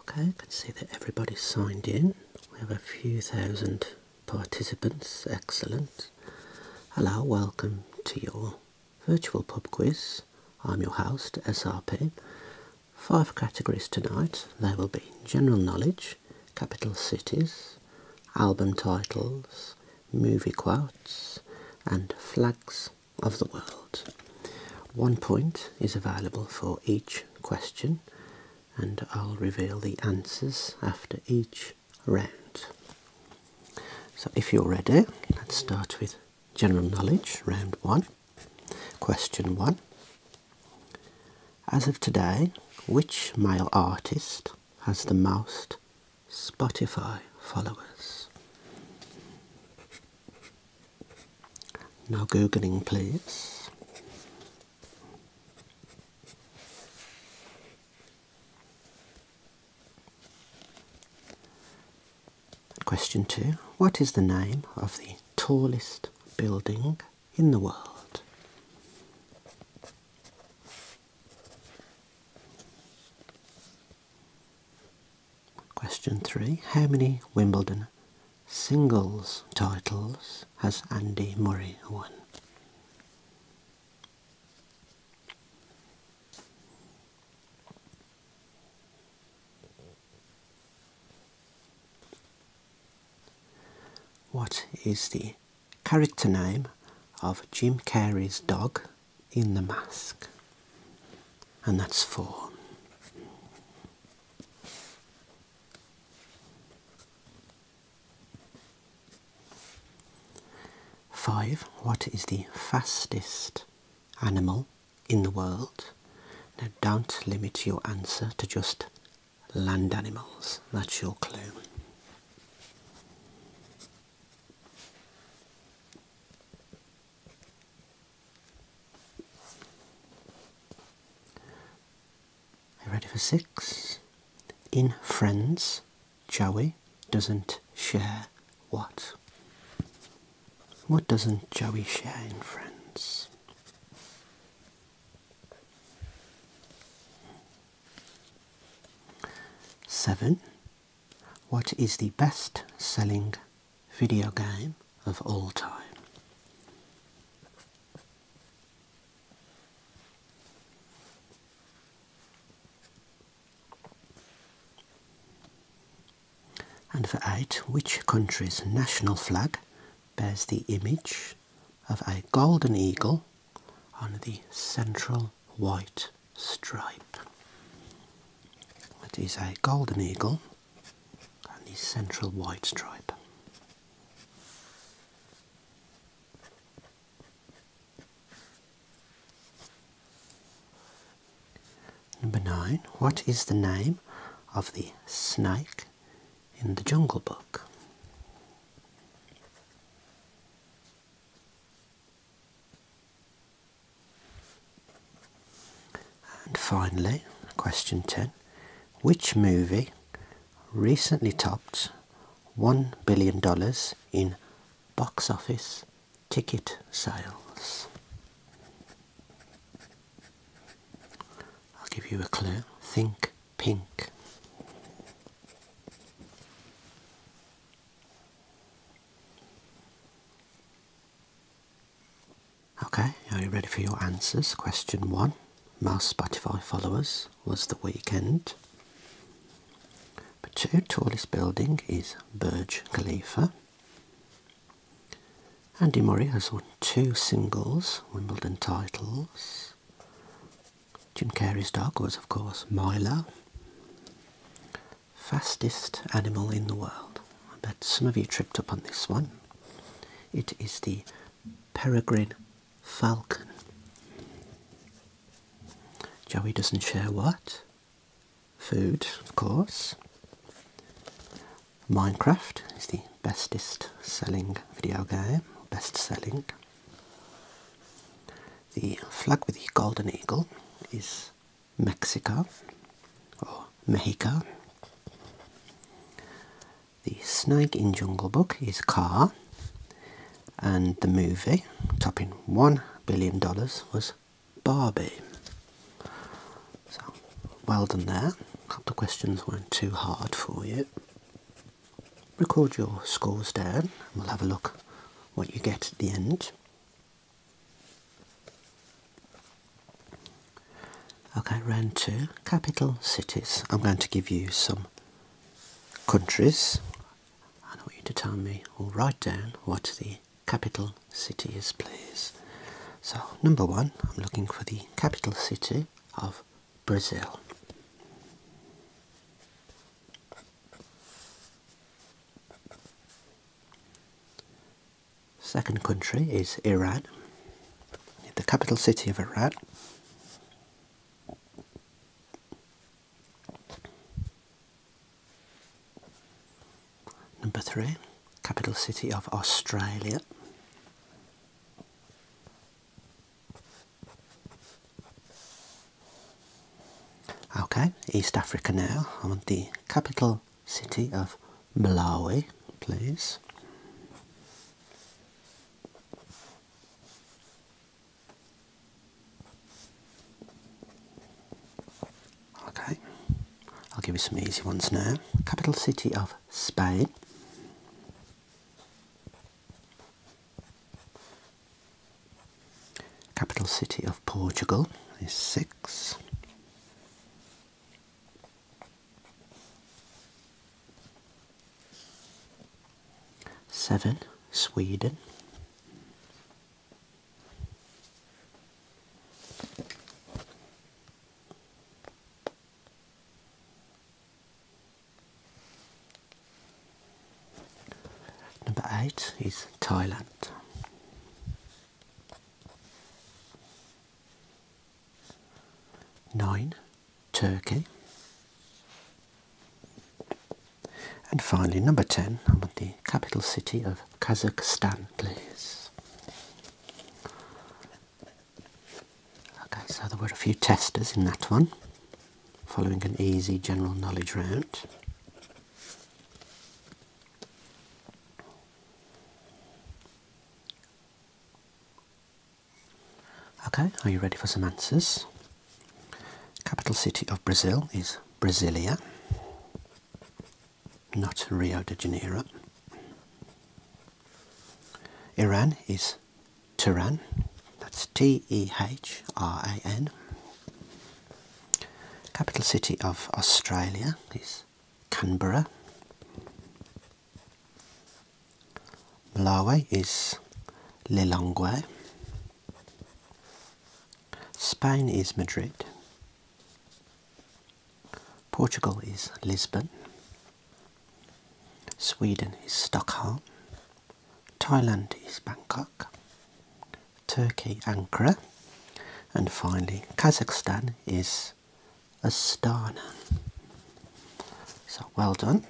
Okay, I can see that everybody's signed in. We have a few thousand participants. Excellent. Hello, welcome to your virtual pub quiz. I'm your host, SRP. Five categories tonight. There will be general knowledge, capital cities, album titles, movie quotes, and flags of the world. One point is available for each question, and I'll reveal the answers after each round. So, if you're ready, let's start with general knowledge, round one. Question one. As of today, which male artist has the most Spotify followers? Now googling, please. Question two What is the name of the tallest building in the world? Question three How many Wimbledon singles titles has Andy Murray won? What is the character name of Jim Carrey's dog in The Mask? and that's four. Five, what is the fastest animal in the world? Now don't limit your answer to just land animals, that's your clue. Are you ready for six? In friends, Joey doesn't share what? What doesn't Joey share in friends? Seven. What is the best selling video game of all time? And for 8. Which country's national flag bears the image of a golden eagle on the central white stripe. It is a golden eagle and the central white stripe. Number 9. What is the name of the snake in the Jungle Book? And finally, question 10 Which movie recently topped $1 billion in box office ticket sales? I'll give you a clue. Think pink. Okay, are you ready for your answers? Question one Most Spotify followers was The Weekend. But two, tallest building is Burj Khalifa. Andy Murray has won two singles, Wimbledon titles. Jim Carrey's dog was, of course, Milo fastest animal in the world. I bet some of you tripped up on this one. It is the peregrine falcon. Joey doesn't share what? Food, of course. Minecraft is the bestest selling video game, best selling. The flag with the golden eagle is Mexico or Mexico. The snake in Jungle Book is Car, and the movie, topping $1 billion, was Barbie. So, well done there. Hope the questions weren't too hard for you. Record your scores down and we'll have a look what you get at the end. Okay, round two, capital cities. I'm going to give you some countries and I want you to tell me or write down what the capital city is, please. So, number one, I'm looking for the capital city of Brazil. Second country is Iran, the capital city of Iran. Number three, capital city of Australia. Okay, East Africa now. I want the capital city of Malawi, please. Okay, I'll give you some easy ones now. Capital city of Spain. Capital city of Portugal is six. Seven, Sweden. Number eight is Thailand. Nine, Turkey. And finally, number 10, I want the capital city of Kazakhstan, please. Okay, so there were a few testers in that one, following an easy general knowledge round. Okay, are you ready for some answers? Capital city of Brazil is Brasilia, not Rio de Janeiro. Iran is Tehran, that's T E H R A N. Capital city of Australia is Canberra. Malawi is Lilongwe. Spain is Madrid. Portugal is Lisbon. Sweden is Stockholm. Thailand is Bangkok, Turkey Ankara, and finally Kazakhstan is Astana. So well done.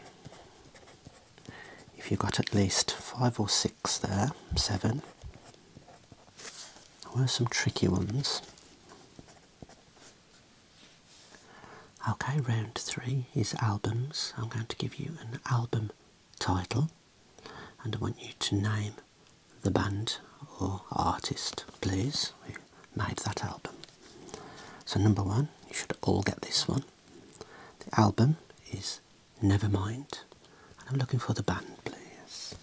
If you got at least five or six there, seven. There were some tricky ones. Okay, round three is albums. I'm going to give you an album title and I want you to name the band or artist, please, who made that album. So, number one, you should all get this one. The album is Nevermind, and I'm looking for the band, please.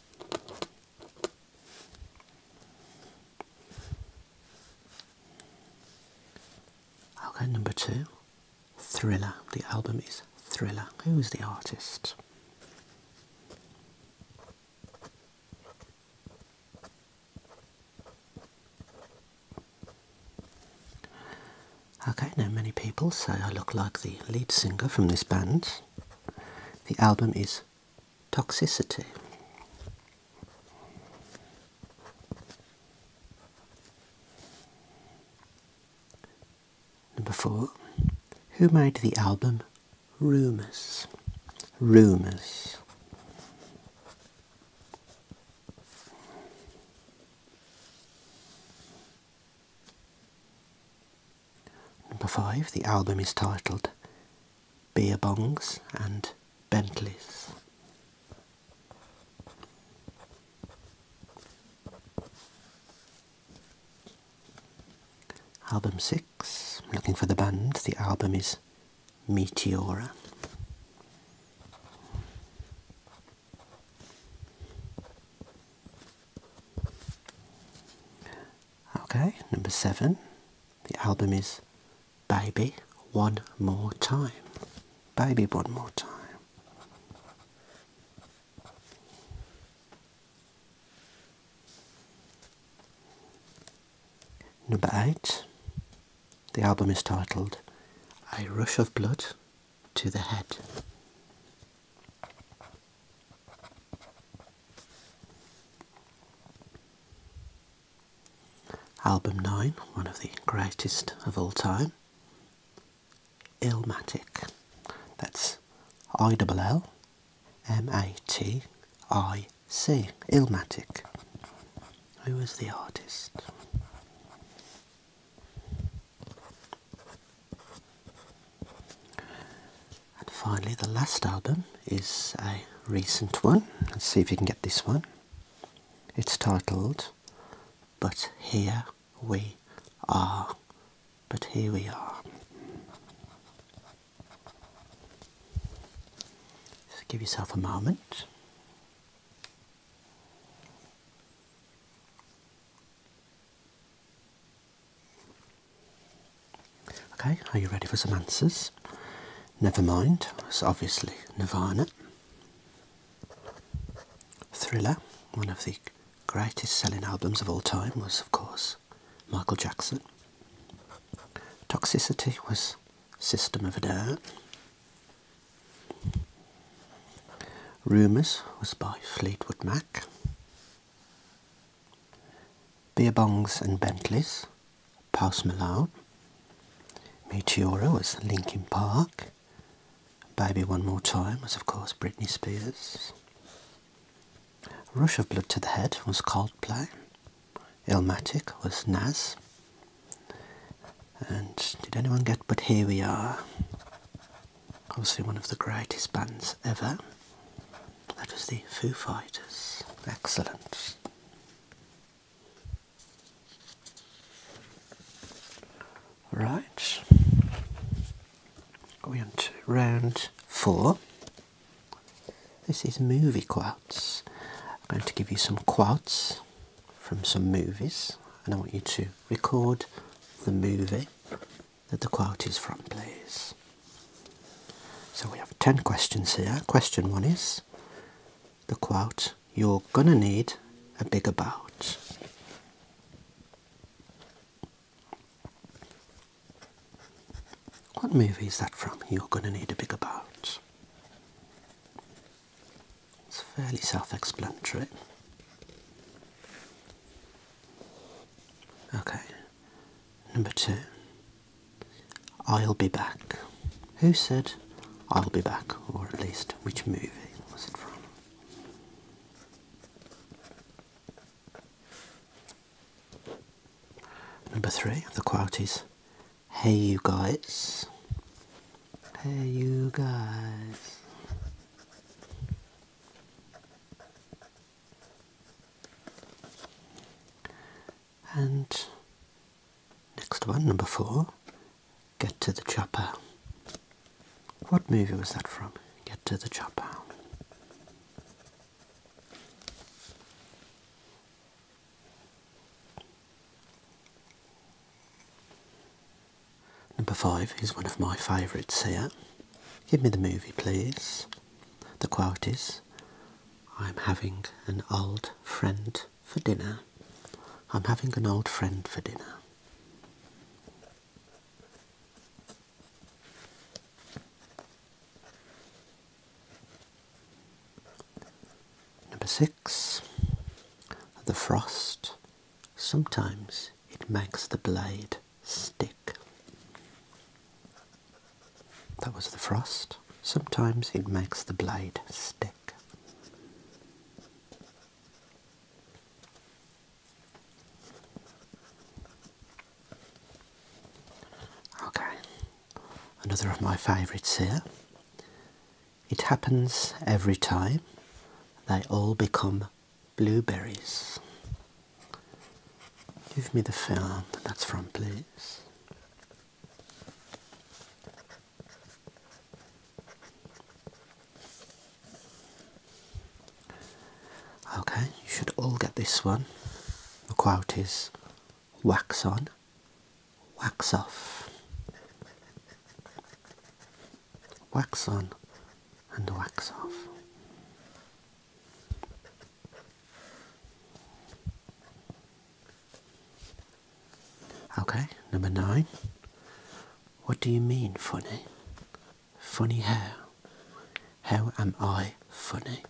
Okay, number two, Thriller. The album is Thriller. Who is the artist? Okay, now many people say I look like the lead singer from this band. The album is Toxicity. Number four, who made the album Rumours? Rumours. Number five, the album is titled Beer Bongs and Bentleys. Album 6, looking for the band, the album is Meteora. Okay, number 7, the album is Baby One More Time. Baby One More Time. Number 8. The album is titled A Rush of Blood to the Head. Album 9, one of the greatest of all time, Ilmatic. That's I double L M A T I C. Illmatic. Who was the artist? And finally, the last album is a recent one. Let's see if you can get this one. It's titled But Here we are, but here we are. Just give yourself a moment. Okay, are you ready for some answers? Never mind, it's obviously Nirvana. Thriller, one of the greatest selling albums of all time, was of course Michael Jackson. Toxicity was System of a Down. Rumours was by Fleetwood Mac. Beer Bongs and Bentleys, Post Malone. Meteora was Linkin Park. Baby One More Time was, of course, Britney Spears. Rush of Blood to the Head was Coldplay. Elmatic was Nas. And did anyone get But Here We Are? Obviously one of the greatest bands ever. That was the Foo Fighters. Excellent. Right, going on to round four. This is movie quotes. I'm going to give you some quotes from some movies, and I want you to record the movie that the quote is from, please. So we have 10 questions here. Question one is the quote you're gonna need a bigger boat. What movie is that from? You're gonna need a bigger boat. It's fairly self-explanatory. Okay, number two. I'll be back. Who said I'll be back? Or at least which movie was it from? Number three, the quote Hey you guys. Hey you guys. And Next one, number four. Get to the Chopper. What movie was that from? Get to the Chopper. Number five is one of my favourites here. Give me the movie, please. The quote is, I'm having an old friend for dinner. I'm having an old friend for dinner. Number six, the frost. Sometimes it makes the blade stick. That was the frost. Sometimes it makes the blade stick. Okay, another of my favourites here. It happens every time, they all become blueberries. Give me the film that's from, please. Okay, you should all get this one. The quote is wax on, wax off, wax on and wax off. Okay, number nine. What do you mean funny? Funny how? How am I funny?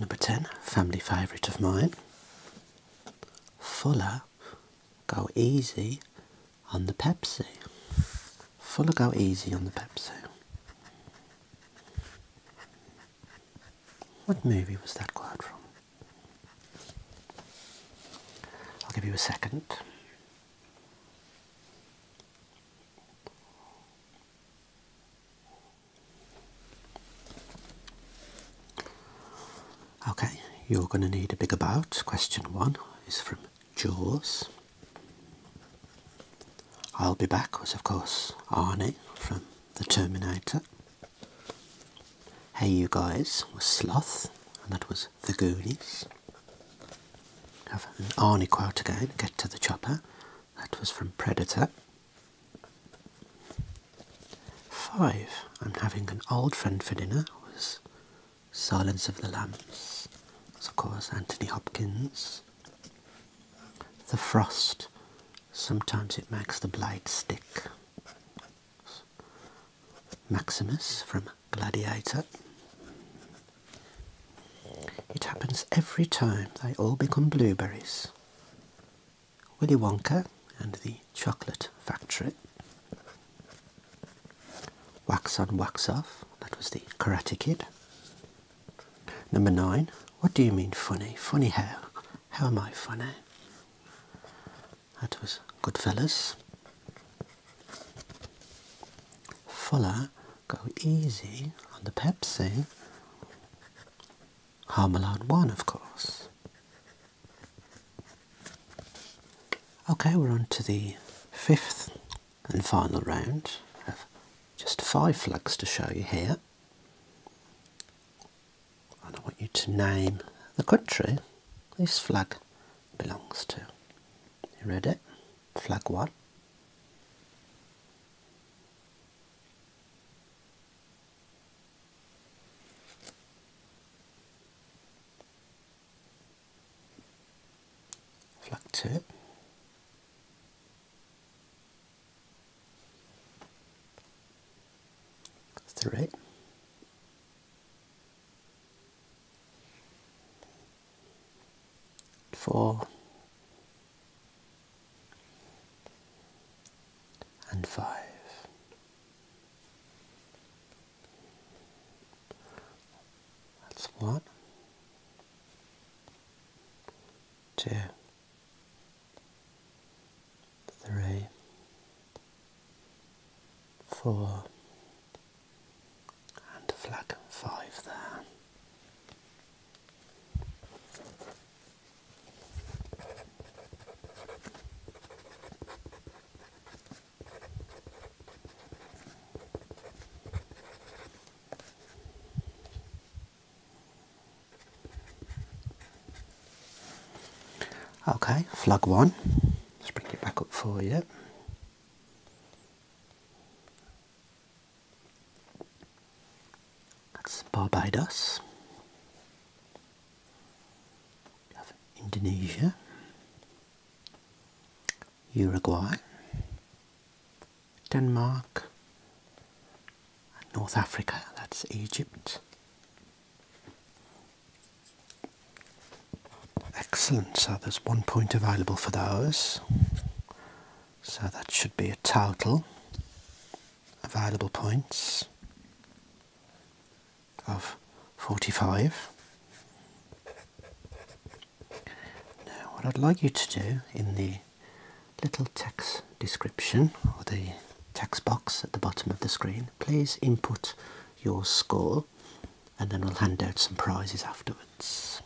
number 10, family favourite of mine. Fuller, go easy on the Pepsi. Full go easy on the Pepsi. What movie was that quote from? I'll give you a second. Okay, you're going to need a big about. Question one is from Jaws. I'll Be Back was, of course, Arnie from The Terminator. Hey You Guys was Sloth, and that was The Goonies. Have an Arnie quote again, Get to the Chopper. That was from Predator. Five, I'm having an old friend for dinner was Silence of the Lambs. of course Anthony Hopkins. The Frost. Sometimes it makes the blade stick. Maximus from Gladiator. It happens every time. They all become blueberries. Willy Wonka and the Chocolate Factory. Wax on, wax off. That was the Karate Kid. Number nine. What do you mean funny? Funny how? How am I funny? That was good fellows. Fuller, go easy on the Pepsi. Harmelade 1, of course. Okay, we're on to the fifth and final round. I have just five flags to show you here. And I want you to name the country this flag belongs to. ready? Flag one. Flag tip. Three. Four. And five. That's one, two, three, four, and flag five there. Okay, flag one. Let's bring it back up for you. That's Barbados. Indonesia, Uruguay, Denmark, North Africa, that's Egypt. Excellent, so there's one point available for those. So that should be a total available points of 45. Now what I'd like you to do in the little text description or the text box at the bottom of the screen, please input your score and then we'll hand out some prizes afterwards.